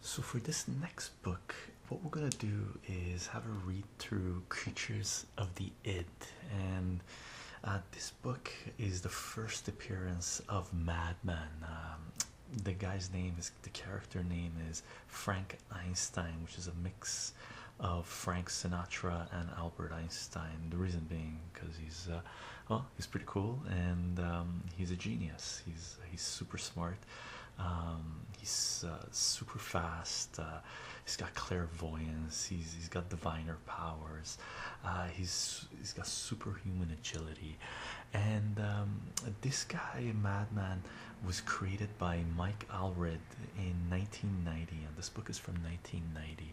So, for this next book, what we're going to do is have a read through Creatures of the Id. And uh, this book is the first appearance of Madman. Um, the guy's name is the character name is Frank Einstein, which is a mix of Frank Sinatra and Albert Einstein. The reason being because he's uh, well, he's pretty cool and um, he's a genius. He's he's super smart. Um, he's uh, super fast. Uh, he's got clairvoyance. He's he's got diviner powers. he's he's got superhuman agility, and um, this guy Madman was created by Mike Alred in 1990, and this book is from 1990.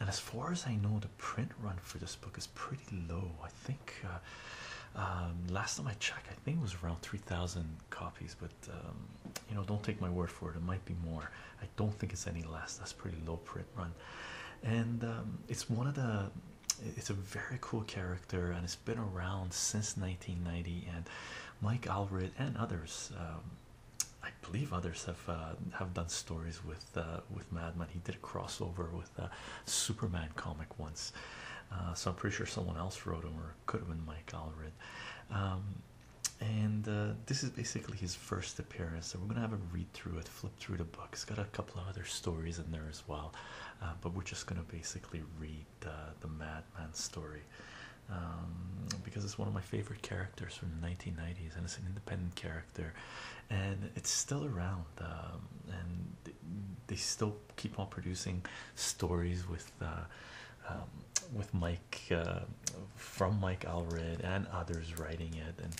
And as far as I know, the print run for this book is pretty low. I think uh, um, last time I checked, I think it was around 3,000 copies, but um, you know, don't take my word for it, it might be more. I don't think it's any less. That's pretty low print run, and um, it's one of the it's a very cool character, and it's been around since 1990. And Mike Alred and others I believe others have uh, have done stories with uh, with Madman. He did a crossover with uh, Superman comic once, so I'm pretty sure someone else wrote him, or could have been Mike Allred. Um, and this is basically his first appearance, so we're gonna have a read through it, flip through the book. It's got a couple of other stories in there as well, but we're just gonna basically read the Madman story. Um, because it's one of my favorite characters from the 1990s and it's an independent character and it's still around um, and they still keep on producing stories with uh, um, with Mike uh, from Mike Alred and others writing it and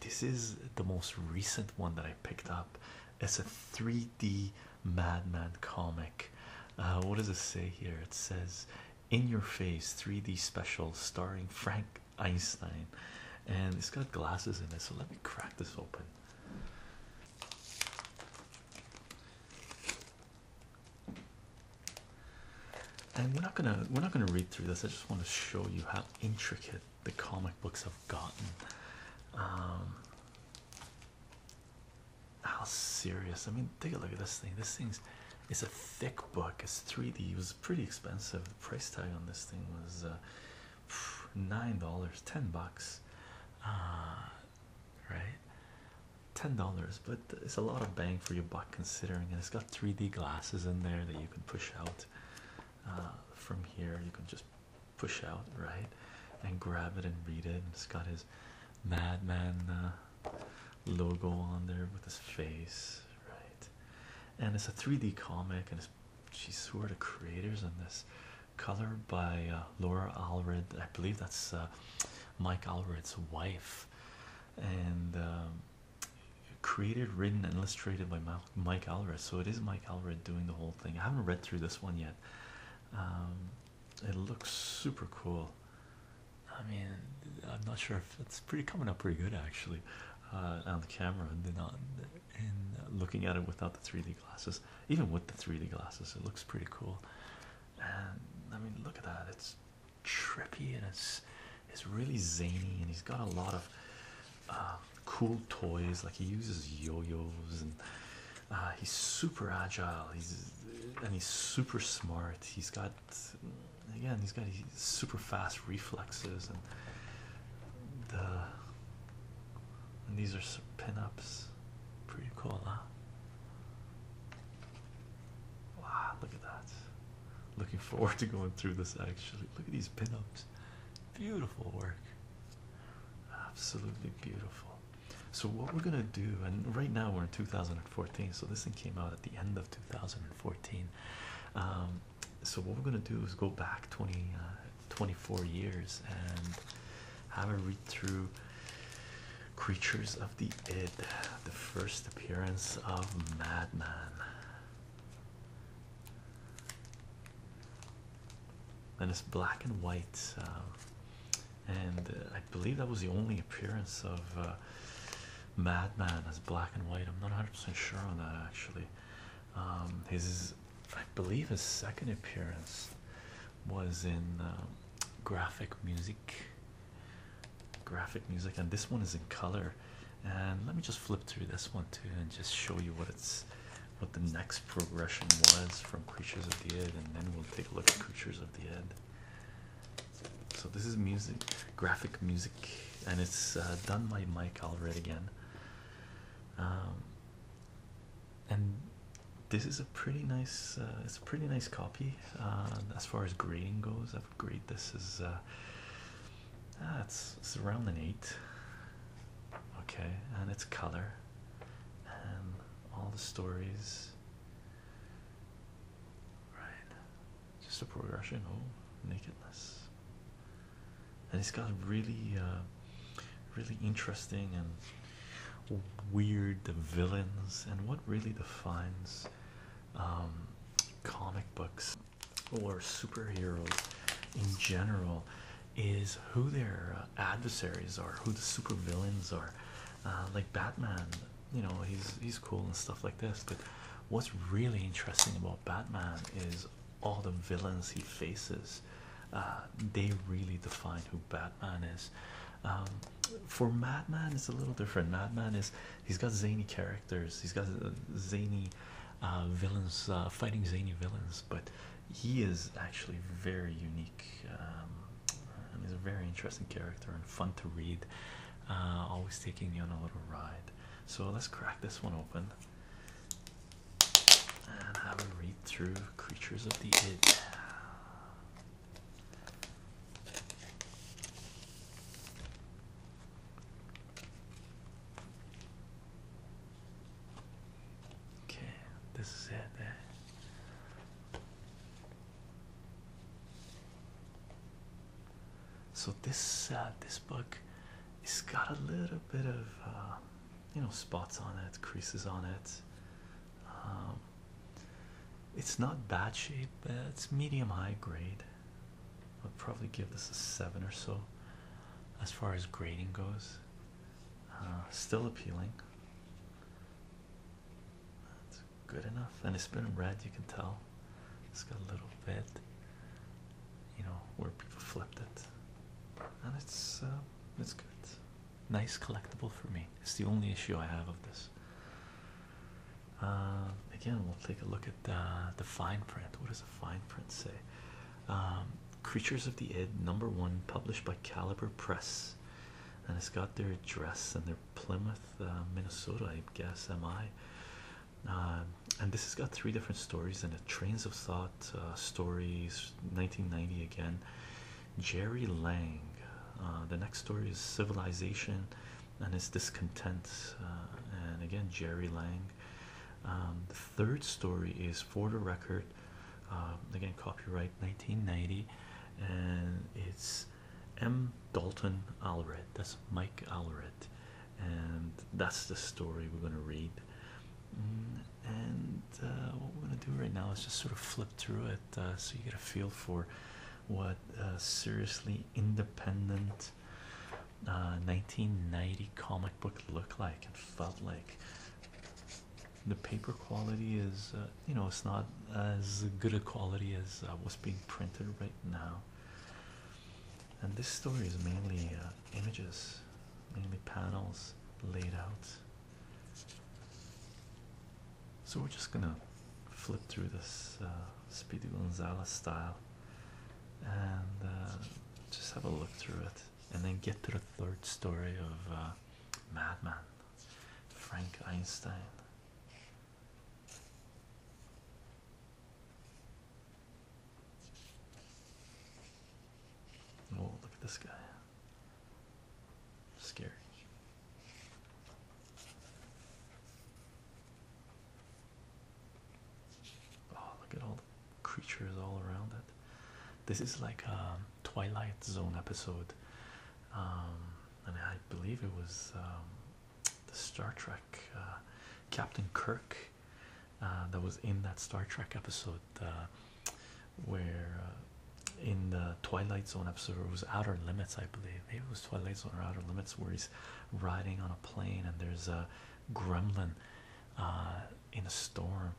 this is the most recent one that I picked up it's a 3d madman comic uh, what does it say here it says in your face 3D special starring Frank Einstein, and it's got glasses in it. So let me crack this open. And we're not gonna we're not gonna read through this. I just want to show you how intricate the comic books have gotten. Um, how serious i mean take a look at this thing this thing's is a thick book it's 3d it was pretty expensive the price tag on this thing was uh, nine dollars ten bucks uh, right ten dollars but it's a lot of bang for your buck considering and it's got 3d glasses in there that you can push out uh, from here you can just push out right and grab it and read it and it's got his madman uh, logo on there with his face, right? And it's a 3D comic, and it's she's who are the creators on this color by uh, Laura Alred. I believe that's uh, Mike Alred's wife, and um, created, written, and illustrated by Mike Alred. So it is Mike Alred doing the whole thing. I haven't read through this one yet. Um, it looks super cool. I mean, I'm not sure if it's pretty coming up pretty good actually uh, on the camera and on and uh, looking at it without the 3D glasses. Even with the 3D glasses, it looks pretty cool. And I mean, look at that. It's trippy and it's it's really zany and he's got a lot of uh, cool toys. Like he uses yo-yos and he's super agile. He's and he's super smart. He's got Mm, again, he's got these super fast reflexes, and the and these are some pinups. Pretty cool, huh? Wow, look at that. Looking forward to going through this actually. Look at these pinups. Beautiful work. Absolutely beautiful. So, what we're going to do, and right now we're in 2000, 14 so this thing came out at the end of 2014 um, so what we're going to do is go back 20 uh, 24 years and have a read through creatures of the id the first appearance of madman and it's black and white um, and uh, I believe that was the only appearance of uh, Madman as black and white. I'm not 100 percent sure on that actually. Um, his, I believe, his second appearance was in uh, graphic music, graphic music, and this one is in color. And let me just flip through this one too, and just show you what it's, what the next progression was from Creatures of the Id, and then we'll take a look at Creatures of the Id. So this is music, graphic music, and it's uh, done by Mike Alred again. Um, and this is a pretty nice, uh, it's a pretty nice copy uh, as far as grading goes. I have graded this as uh, ah, it's, it's around an eight. Okay, and it's color, and all the stories. Right, just a progression. Oh, nakedness, and he's got really, uh, really interesting and weird villains. And what really defines um, comic books or superheroes in general is who their uh, adversaries are, who the supervillains are. Uh, like Batman you know he's he's cool and stuff like this but what's really interesting about batman is all the villains he faces uh, they really define who batman is um, for madman it's a little different madman is he's got zany characters he's got uh, zany uh, villains fighting zany villains but he is actually very unique um, he's a very interesting character and fun to read. Uh, always taking you on a little ride. So let's crack this one open and have a read through Creatures of the Id. Okay, this is it. Eh? So this uh, this book, it's got a little bit of uh, you know spots on it, creases on it. Um, it's not bad shape, but it's medium high grade. I'll probably give this a seven or so, as far as grading goes. Uh, still appealing. That's good enough. And it's been red, you can tell. It's got a little bit, you know, where people flipped it. And it's uh, it's good. Nice collectible for me. It's the only issue I have of this. Uh, again, we'll take a look at uh, the fine print. What does the fine print say? Um, Creatures of the Id, number one, published by Caliber Press, and it's got their address and their Plymouth, uh, Minnesota, I guess. Am I? Uh, and this has got three different stories And it: Trains of Thought uh, stories, 1990 again. Jerry Lang. the next story is Civilization and its discontent, and again Jerry Lang. Um, the third story is For the Record. again, copyright 1990, and it's M. Dalton Alred. That's Mike Alred, and that's the story we're going to read. Mm, and uh, what we're going to do right now is just sort of flip through it uh, so you get a feel for what uh, seriously independent 1990 uh, comic book looked like and felt like. The paper quality is, you know, it's not as good a quality as uh, what's being printed right now. And this story is mainly uh, images, mainly panels laid out. So we're just gonna flip through this uh, Speedy Gonzalez style and just have a look through it and then get to the third story of Madman Frank Einstein. Oh, look at this guy. Scary. Oh, look at all the creatures all around it. This is like a um, Twilight Zone episode. Um, and I believe it was um, the Star Trek uh, Captain Kirk uh, that was in that Star Trek episode uh, where in the Twilight Zone episode it was Outer Limits, I believe. Maybe it was Twilight Zone or Outer Limits where he's riding on a plane and there's a gremlin in a storm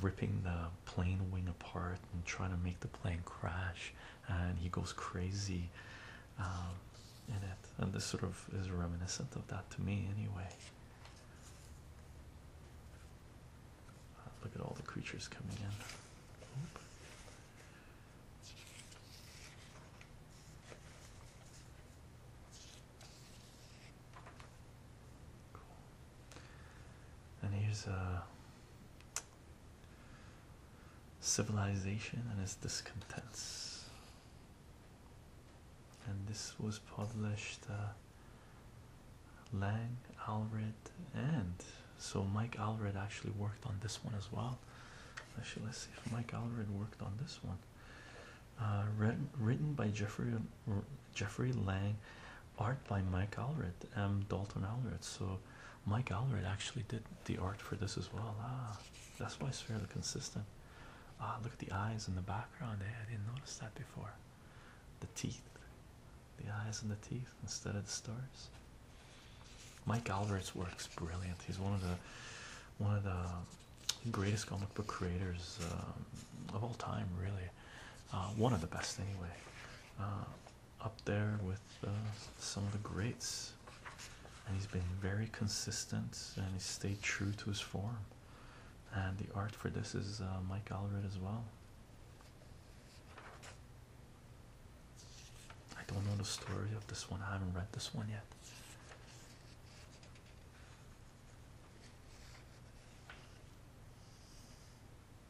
ripping the plane wing apart and trying to make the plane crash and he goes crazy in um, it, and this sort of is reminiscent of that to me, anyway. Uh, look at all the creatures coming in. And here's a uh, Civilization and its discontents. And this was published uh, Lang, Alred, and so Mike Alred actually worked on this one as well. Actually, let's see if Mike Alred worked on this one. Uh, written, written by Jeffrey Jeffrey Lang, art by Mike Alred, M. Dalton Alred. So Mike Alred actually did the art for this as well. Ah, that's why it's fairly consistent. Ah, look at the eyes in the background. Hey, I didn't notice that before. The teeth, the eyes and the teeth instead of the stars. Mike Albert's work's brilliant. He's one of the one of the greatest comic book creators um, of all time, really. Uh, one of the best, anyway. Uh, up there with uh, some of the greats, and he's been very consistent and he stayed true to his form. And the art for this is uh, Mike Allred as well. I don't know the story of this one. I haven't read this one yet.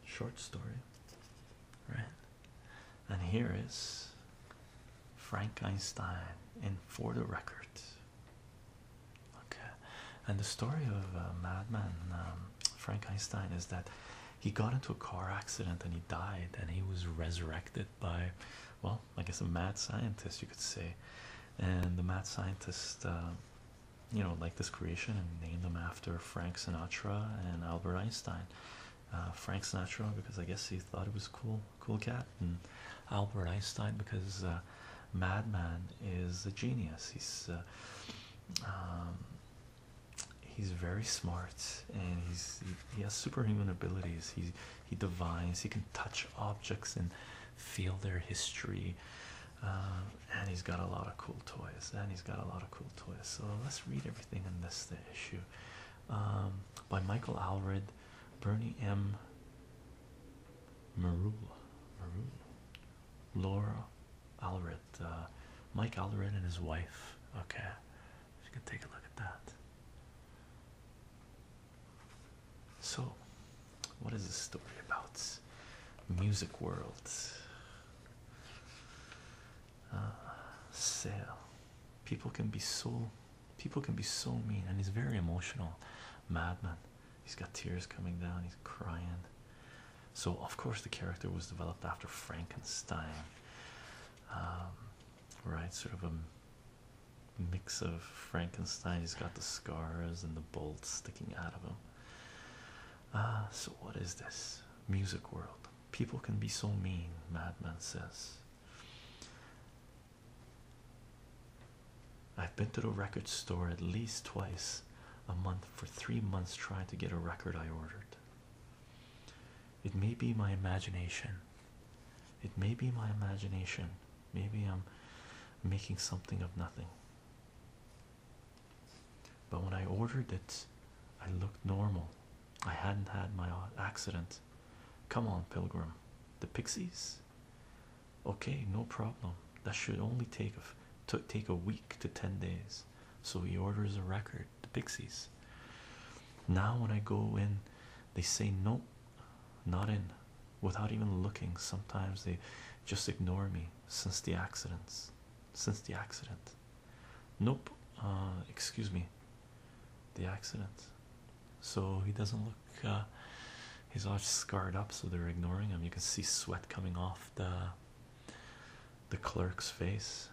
Short story, right? And here is Frank Einstein in For the Record. Okay, and the story of Madman um, Frank Einstein is that he got into a car accident and he died, and he was resurrected by, well, I guess a mad scientist, you could say. And the mad scientist, uh, you know, liked this creation and named them after Frank Sinatra and Albert Einstein. Uh, Frank Sinatra because I guess he thought it was cool, cool cat, and Albert Einstein because uh, Madman is a genius. He's uh, um, he's very smart and he's he, has superhuman abilities. He he divines. He can touch objects and feel their history. and he's got a lot of cool toys, and he's got a lot of cool toys. So let's read everything in this issue um, by Michael Alred, Bernie M. Marula, Maroon, Laura Alred, uh, Mike Alred and his wife. Okay, you can take a look at that. So, what is this story about? Music world. Uh, sale. People can be sold. People can be so mean, and he's very emotional. Madman. He's got tears coming down, he's crying. So, of course, the character was developed after Frankenstein. Um, right, sort of a mix of Frankenstein. He's got the scars and the bolts sticking out of him. Ah, so, what is this? Music world. People can be so mean, Madman says. I've been to the record store at least twice a month for three months trying to get a record I ordered. It may be my imagination. It may be my imagination. Maybe I'm making something of nothing. But when I ordered it, I looked normal. I hadn't had my accident. Come on, Pilgrim. The Pixies? Okay, no problem. That should only take a, take a week to 10 days. So he orders a record, The Pixies. Now, when I go in, they say no, not in, without even looking. Sometimes they just ignore me since the accidents. Since the accident. Nope. Uh, excuse me the accident. So he doesn't look, he's uh, all scarred up, so they're ignoring him. You can see sweat coming off the the clerk's face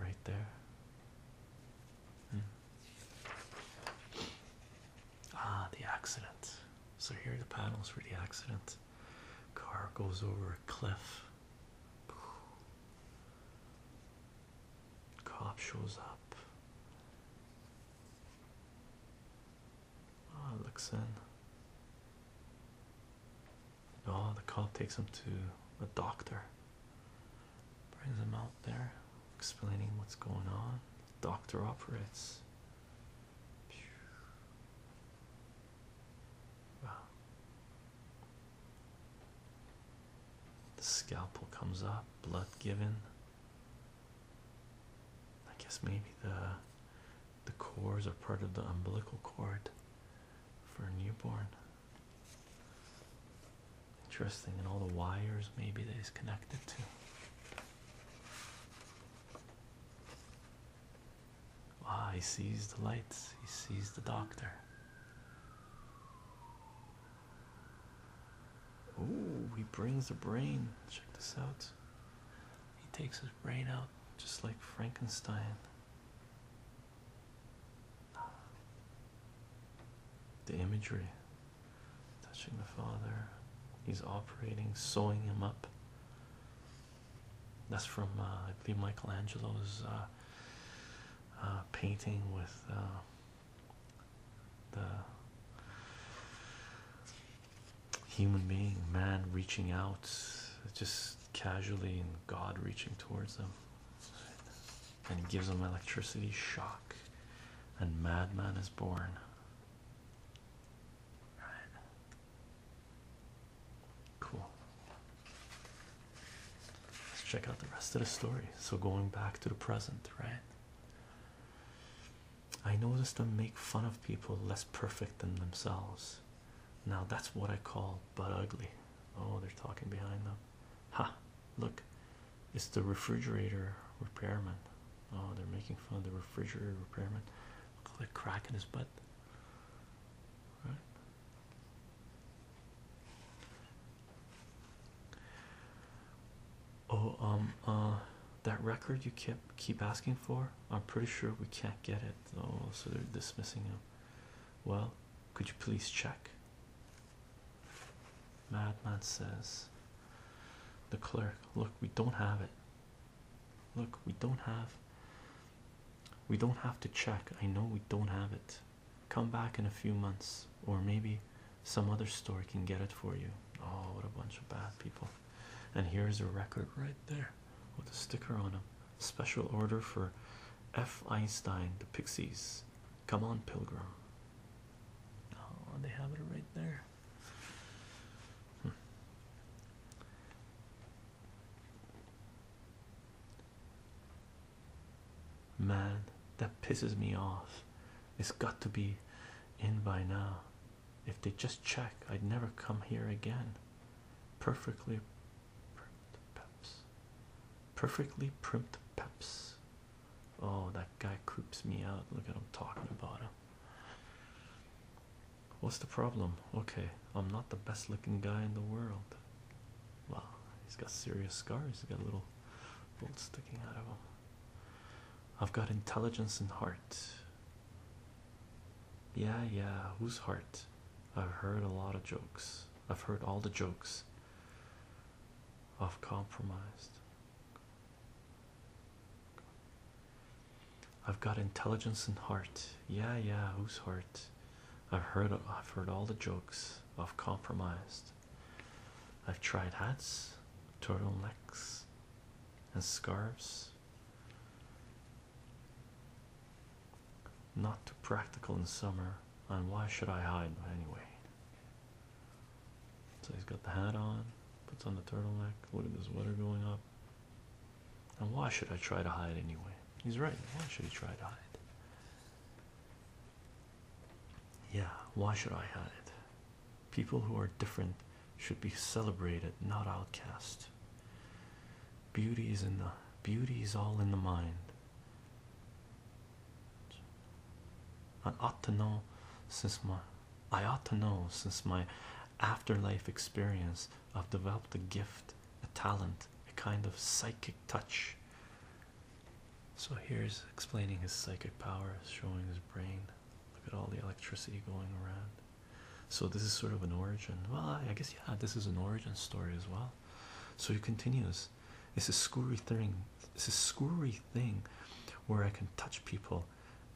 right there. Hmm. Ah, the accident. So here are the panels for the accident. Car goes over a cliff. Cop shows up. Oh, looks in. Oh, the cop takes him to a doctor. Brings him out there, explaining what's going on. The doctor operates. The scalpel comes up, blood given. I guess maybe the the cores are part of the umbilical cord for a newborn. Interesting, and all the wires maybe that is connected to. Ah, he sees the lights. He sees the doctor. Oh, he brings the brain. Check this out. He takes his brain out just like Frankenstein. The imagery touching the father. He's operating, sewing him up. That's from, uh, I believe, Michelangelo's uh, uh, painting with the human being, man reaching out just casually, and God reaching towards them. And he gives them electricity shock, and madman is born. Right. Cool. Let's check out the rest of the story. So, going back to the present, right? I notice them make fun of people less perfect than themselves. Now that's what I call butt ugly. Oh, they're talking behind them. Ha! Look, it's the refrigerator repairman. Oh, they're making fun of the refrigerator repairman. Look at the crack in his butt. Right? Oh, um, uh, that record you kept keep asking for. I'm pretty sure we can't get it Oh, so they're dismissing him. Well, could you please check? Madman says, The clerk, look, we don't have it. Look, we don't have. We don't have to check. I know we don't have it. Come back in a few months, or maybe some other store can get it for you. Oh, what a bunch of bad people! And here's a record right there with a sticker on it, Special order for F. Einstein, the Pixies. Come on, Pilgrim. Oh, they have it right there. Hmm man that pisses me off it's got to be in by now if they just check i'd never come here again perfectly primed peps perfectly primed peps oh that guy creeps me out look at him talking about him what's the problem okay i'm not the best looking guy in the world Well, he's got serious scars he's got a little bolt sticking out of him I've got intelligence and heart. Yeah, yeah, whose heart? I've heard a lot of jokes. I've heard all the jokes. I've compromised. I've got intelligence and heart. Yeah, yeah, whose heart? I've heard I've heard all the jokes. I've compromised. I've tried hats, turtlenecks, and scarves. Not too practical in summer, and why should I hide anyway? So he's got the hat on, puts on the turtleneck. Look at this weather going up. And why should I try to hide anyway? He's right. Why should he try to hide? Yeah, why should I hide? People who are different should be celebrated, not outcast. Beauty is in the beauty is all in the mind. I ought to know since my I ought to know since my afterlife experience I've developed a gift, a talent, a kind of psychic touch so here's explaining his psychic powers, showing his brain. Look at all the electricity going around. So this is sort of an origin. Well, I guess yeah, this is an origin story as well. So he continues. It's a screwy thing. It's a screwy thing, where I can touch people,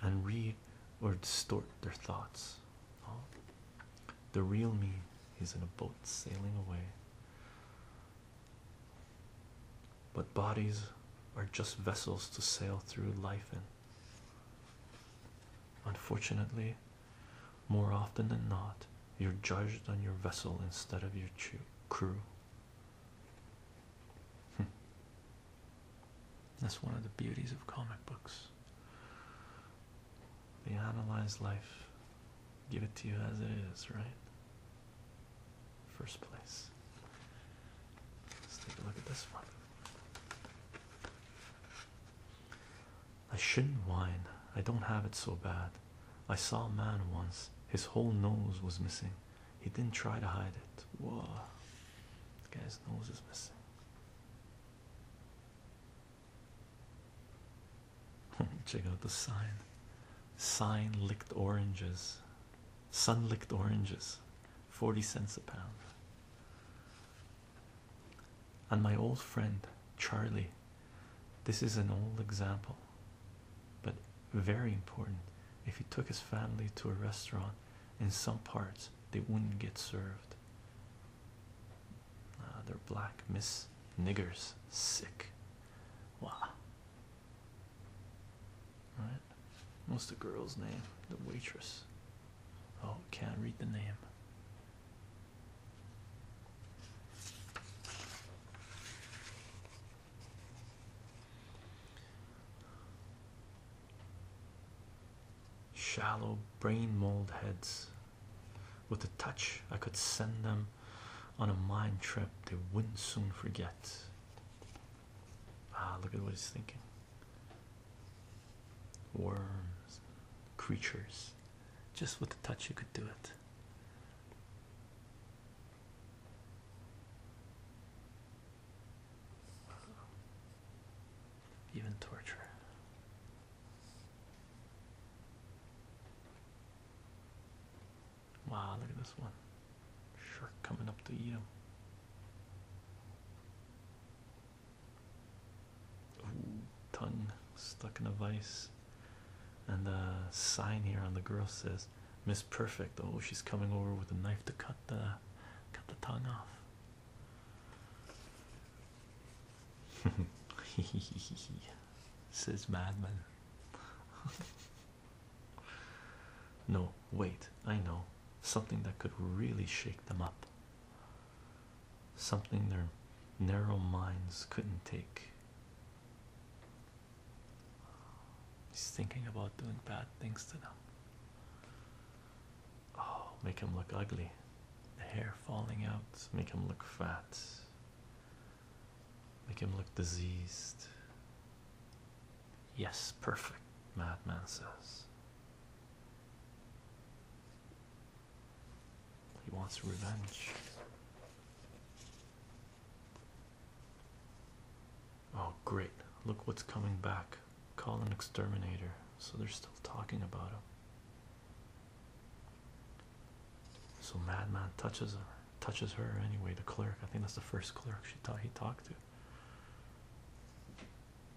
and read or distort their thoughts. Oh. The real me is in a boat sailing away but bodies are just vessels to sail through life in. Unfortunately, more often than not, you're judged on your vessel instead of your crew. Hmm. That's one of the beauties of comic books. They analyze life, give it to you as it is, right? first place. Let's take a look at this one. I shouldn't whine. I don't have it so bad. I saw a man once. His whole nose was missing. He didn't try to hide it. Whoa. guy's nose is missing. Check out the sign. Sign licked oranges sun-licked oranges 40 cents a pound and my old friend charlie this is an old example but very important if he took his family to a restaurant in some parts they wouldn't get served uh, they're black miss niggers sick wow all right. What's the girl's name? The waitress. Oh, can't read the name. Shallow brain mold heads. With a touch, I could send them on a mind trip they wouldn't soon forget. Ah, look at what he's thinking. Worms, creatures. Just with the touch, you could do it. Even torture. Wow, look at this one. Shark coming up to eat him. tongue stuck in a vice. And the sign here on the girl says, Miss Perfect. Oh, she's coming over with a knife to cut the cut the tongue off. Says madman. No, wait, I know something that could really shake them up. Something their narrow minds couldn't take. He's thinking about doing bad things to them. Oh, make him look ugly. The hair falling out, make him look fat, make him look diseased. Yes, perfect, Madman says. He wants revenge. Oh, great. Look what's coming back. Call an exterminator. So they're still talking about him. So Madman touches her, touches her anyway. The clerk, I think that's the first clerk she he talked to.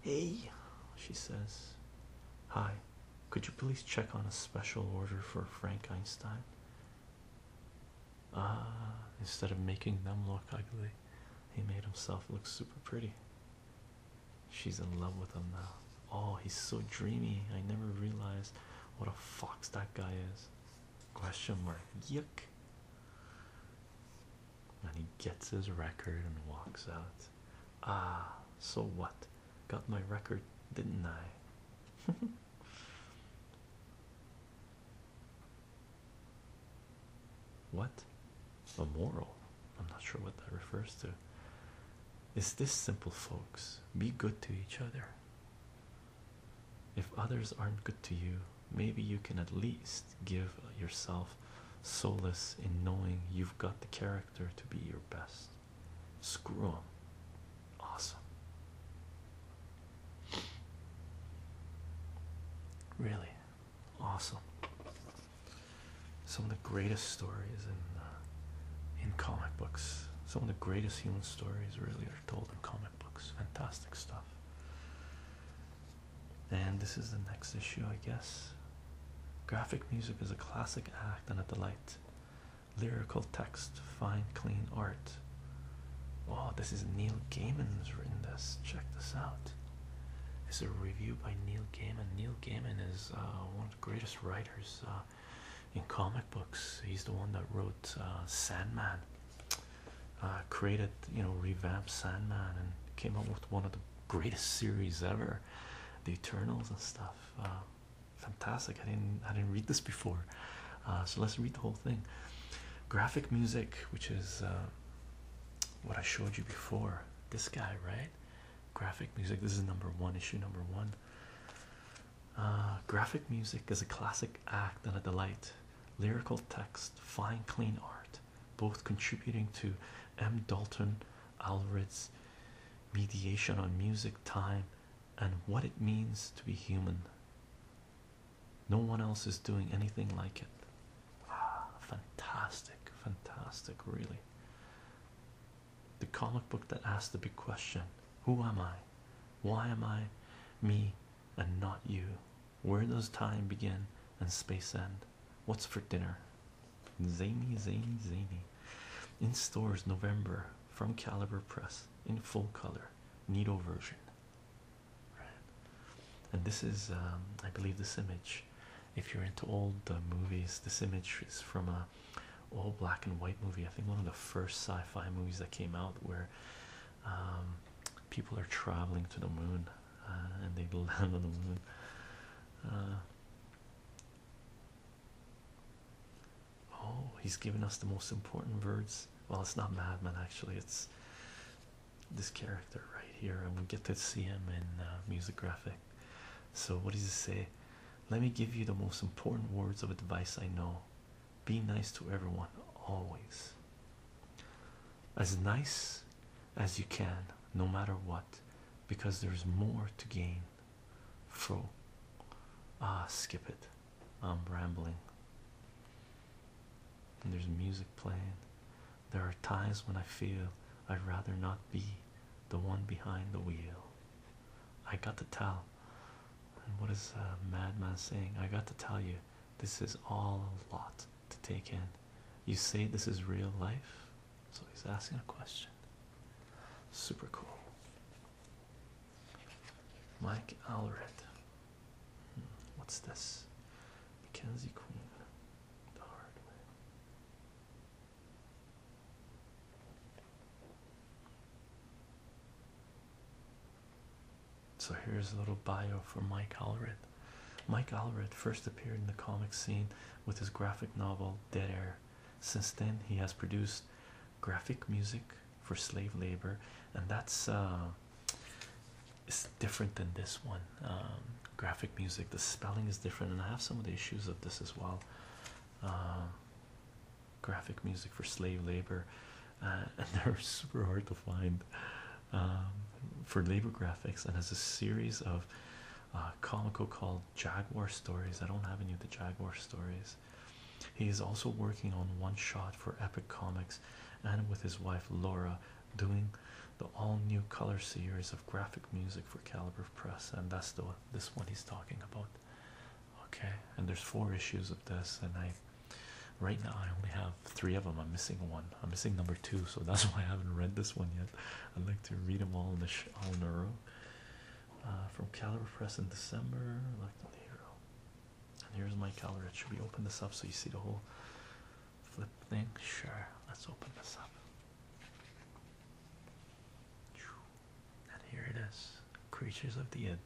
Hey, she says. Hi, could you please check on a special order for Frankenstein? Ah, instead of making them look ugly, he made himself look super pretty. She's in love with him now. Oh, he's so dreamy. I never realized what a fox that guy is. Question mark. Yuck. And he gets his record and walks out. Ah, so what? Got my record, didn't I? what? A moral? I'm not sure what that refers to. It's this simple, folks. Be good to each other. If others aren't good to you, maybe you can at least give yourself solace in knowing you've got the character to be your best. Screw 'em. Awesome. Really awesome. Some of the greatest stories in uh, in comic books. Some of the greatest human stories really are told in comic books. Fantastic stuff. And this is the next issue, I guess. Graphic music is a classic act and a delight. Lyrical text, fine, clean art. Oh, this is Neil Gaiman's written this. Check this out. It's a review by Neil Gaiman. Neil Gaiman is uh, one of the greatest writers uh, in comic books. He's the one that wrote uh, Sandman. Uh, created, you know, revamped Sandman and came up with one of the greatest series ever, The Eternals and stuff. Uh, fantastic! I didn't, I didn't read this before, uh, so let's read the whole thing. Graphic music, which is what I showed you before. This guy, right? Graphic music. This is number one issue, number one. graphic music is a classic act and a delight lyrical text, fine, clean art, both contributing to M. Dalton Alred's mediation on music, time, and what it means to be human. No one else is doing anything like it. Wow, ah, fantastic, fantastic, really. The comic book that asks the big question Who am I? Why am I me and not you? Where does time begin and space end? What's for dinner? Zany, zany, zany. In stores, November from Caliber Press in full color, needle version. Right. And this is, um, I believe, this image. If you're into old uh, movies, this image is from a all black and white movie. I think one of the first sci-fi movies that came out, where um, people are traveling to the moon uh, and they land on the moon. Uh, oh, he's giving us the most important words. Well, it's not Madman actually, it's this character right here, and we get to see him in uh, music graphic. So, what does he say? Let me give you the most important words of advice I know. Be nice to everyone, always as nice as you can, no matter what, because there's more to gain. Fro, ah, skip it. I'm rambling. And there's music playing. There are times when I feel I'd rather not be the one behind the wheel. I got to tell. And what is madman saying? I got to tell you, this is all a lot to take in. You say this is real life? So he's asking a question. Super cool. Mike Alred. Hmm, what's this? Mackenzie Queen. The hard way. So here's a little bio for Mike Allred. Mike Allred first appeared in the comic scene with his graphic novel Dead Air. Since then, he has produced graphic music for slave labor, and that's uh, it's different than this one. Um, graphic music, the spelling is different, and I have some of the issues of this as well. Um, graphic music for slave labor, uh, and they're super hard to find. Um, for labor graphics and has a series of uh, comical called Jaguar Stories. I don't have any of the Jaguar stories. He is also working on one shot for Epic Comics and with his wife Laura doing the all new color series of graphic music for Caliber Press and that's the this one he's talking about. Okay, and there's four issues of this and I Right now, I only have three of them. I'm missing one. I'm missing number two, so that's why I haven't read this one yet. I'd like to read them all in the all in a row. Uh, from Caliber Press in December, like the hero. And here's my Caliber. Should we open this up so you see the whole flip thing? Sure. Let's open this up. And here it is, Creatures of the End.